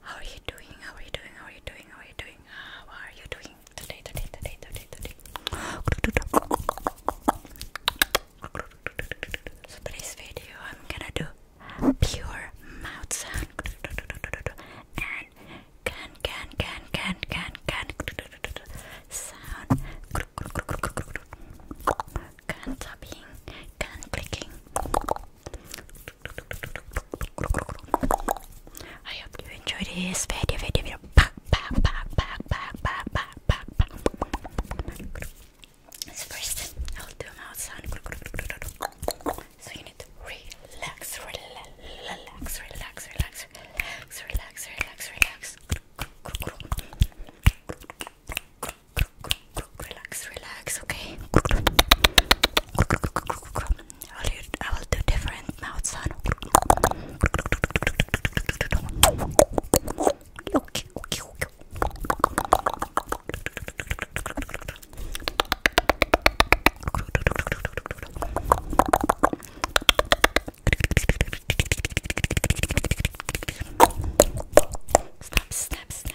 how are you doing? How are you doing? How are you doing? How are you doing? How ah, are you doing today? Today, today, today, today. So today's video, I'm gonna do pure mouth sound and can can can can can can sound gun tapping, gun clicking. I hope you enjoyed this video, video, video. Back, back, back, back, back, back, back, back, back. first, I'll do a sound. So you need to relax, relax, relax, relax, relax, relax, relax, relax. relax. Relax, relax, okay? I will do different mouth sound. Okay, okay, okay. Snap, snap, snap,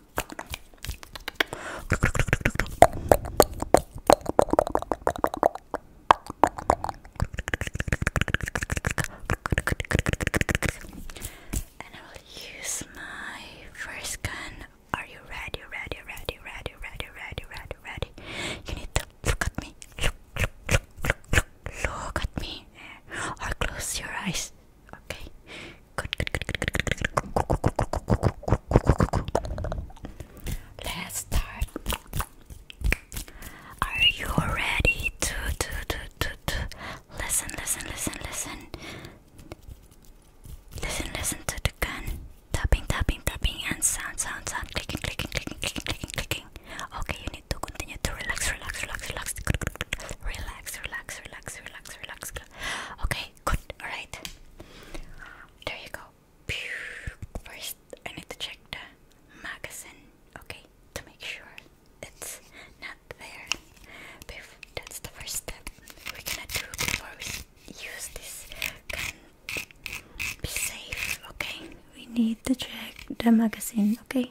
And I will use my first gun. Are you ready? Ready, ready, ready, ready, ready, ready, ready. You need to look at me. Look, look, look, look, look, look at me. Or close your eyes. Okay. Let's start. Are you ready to, to, to, to, to listen, listen, listen, listen? Listen, listen to the gun. Tapping, tapping, tapping, and sound, sound, sound. Clicking, clicking, clicking, clicking, clicking, clicking. Okay, you need to continue to relax, relax, relax, relax. Relax, relax, relax, relax, relax, Okay, good. Alright. There you go. First, I need to check the magazine, okay, to make sure it's not there. That's the first step we're gonna do before we use this gun. Be safe, okay? We need to check the magazine, okay?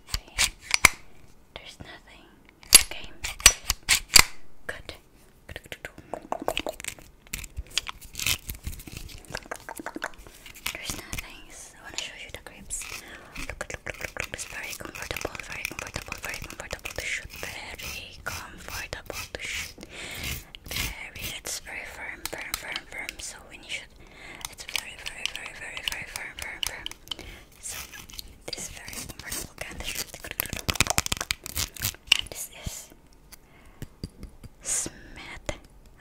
There's nothing. Okay. Good. There's nothing. I want to show you the grips. Look, look, look, look, look. It's very comfortable, very comfortable, very comfortable to shoot. Very comfortable to shoot. Very, it's very firm, firm, firm, firm. So when you shoot, it's very, very, very, very, very firm, firm, firm. So this is very comfortable candle. And this is Smith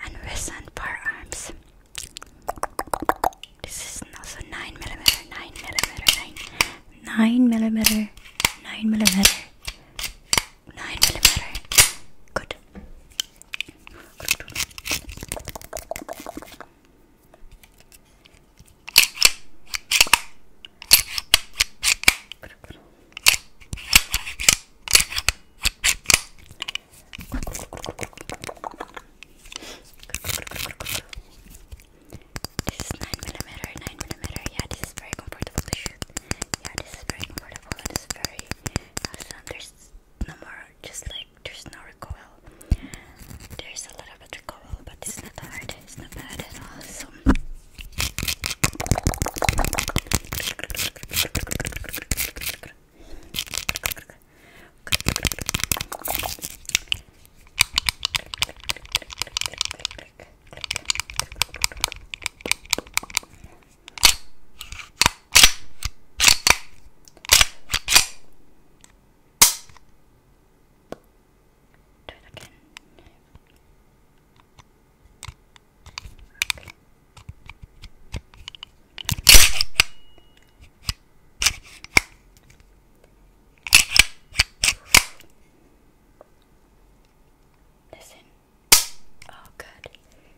and Wesson Bar Arms. This is also 9 millimeter, 9 millimeter, 9, 9 millimeter, 9 millimeter, 9 millimeter. Good. This is 9mm, 9mm, yeah, this is very comfortable to shoot. Yeah, this is very comfortable and it's very awesome. There's no more just like there's no recoil there's a little bit recoil but it's not hard it's not bad at all so do it again. Okay. Listen. Oh, good.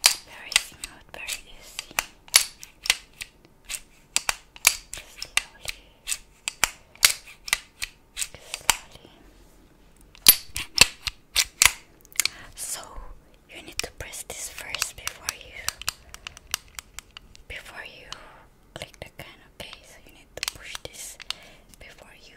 Very smooth, very easy. Slowly, slowly. So you need to press this first before you before you click the can. Okay, so you need to push this before you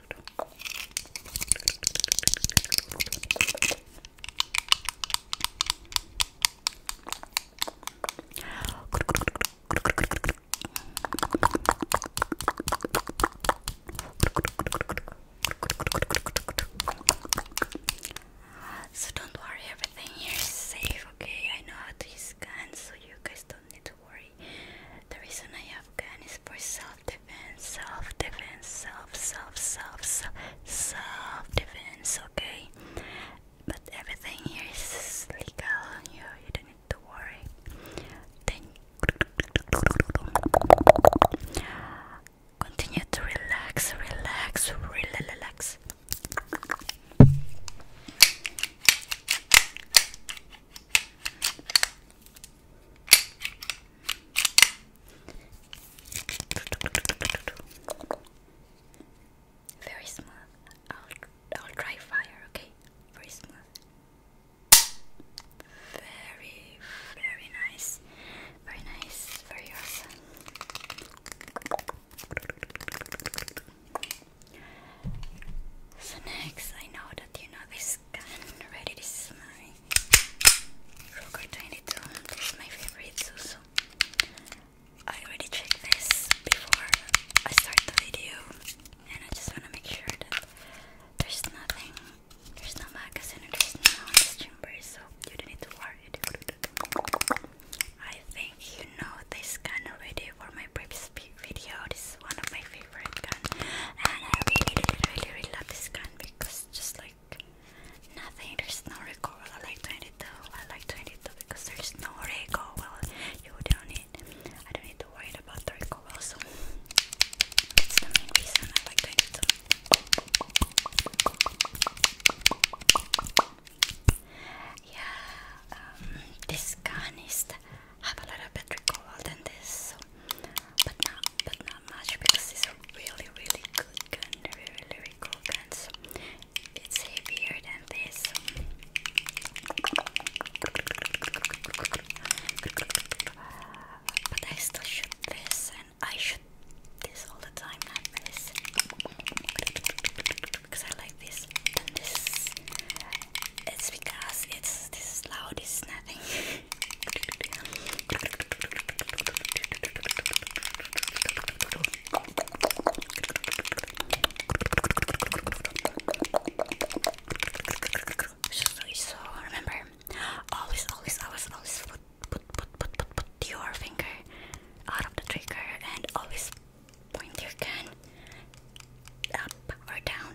So don't worry, everything is safe, okay? I know how to use guns, so you guys don't need to worry. The reason I have for self-defense, self-defense, self, self, self, self, self-defense, okay? But everything here is legal, you, you don't need to worry. Then continue to relax, relax, relax. Very smooth. I'll, I'll try fire, okay? Very smooth. Very, very nice. Very nice. Very awesome. So next, I know that you know this gun ready. This my Ruger 22. This is my favorite Susu. I already checked this before I start the video, and I just wanna make sure that there's nothing, there's no magazine, there's no chamber, so you don't need to worry. I think you know this kind of already for my previous video. This is one of my favorite favorite gun, and I really, really, really, really love this gun because just like nothing, there's no recoil. I like to 22. I like to do it 22 because there's no recoil. You don't need. I don't need to worry about the recoil. Also, that's the main reason I like 22. Yeah, um, this gun is have a lot of better recoil than this but not but not much because it's a really really good gun, really really cool gun. So it's heavier than this. But I still shoot this and I shoot this all the time, not Because I like this and because it's this loud, it's nothing. So remember, always, always, always, always put, put, put, put, put, put your finger out of the trigger and always point your gun up or down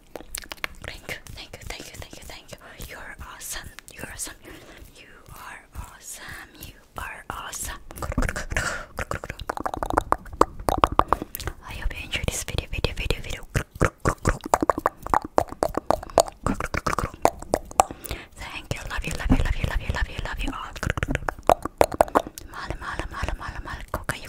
Thank you, thank you, thank you, thank you, thank you. You're awesome. You're awesome. You are awesome. You are awesome. I hope you enjoyed this video, video, video, video. Thank you, love you, love you, love you, love you, love you, love you all. Mala, mala, mala, mala, mala, coca, you.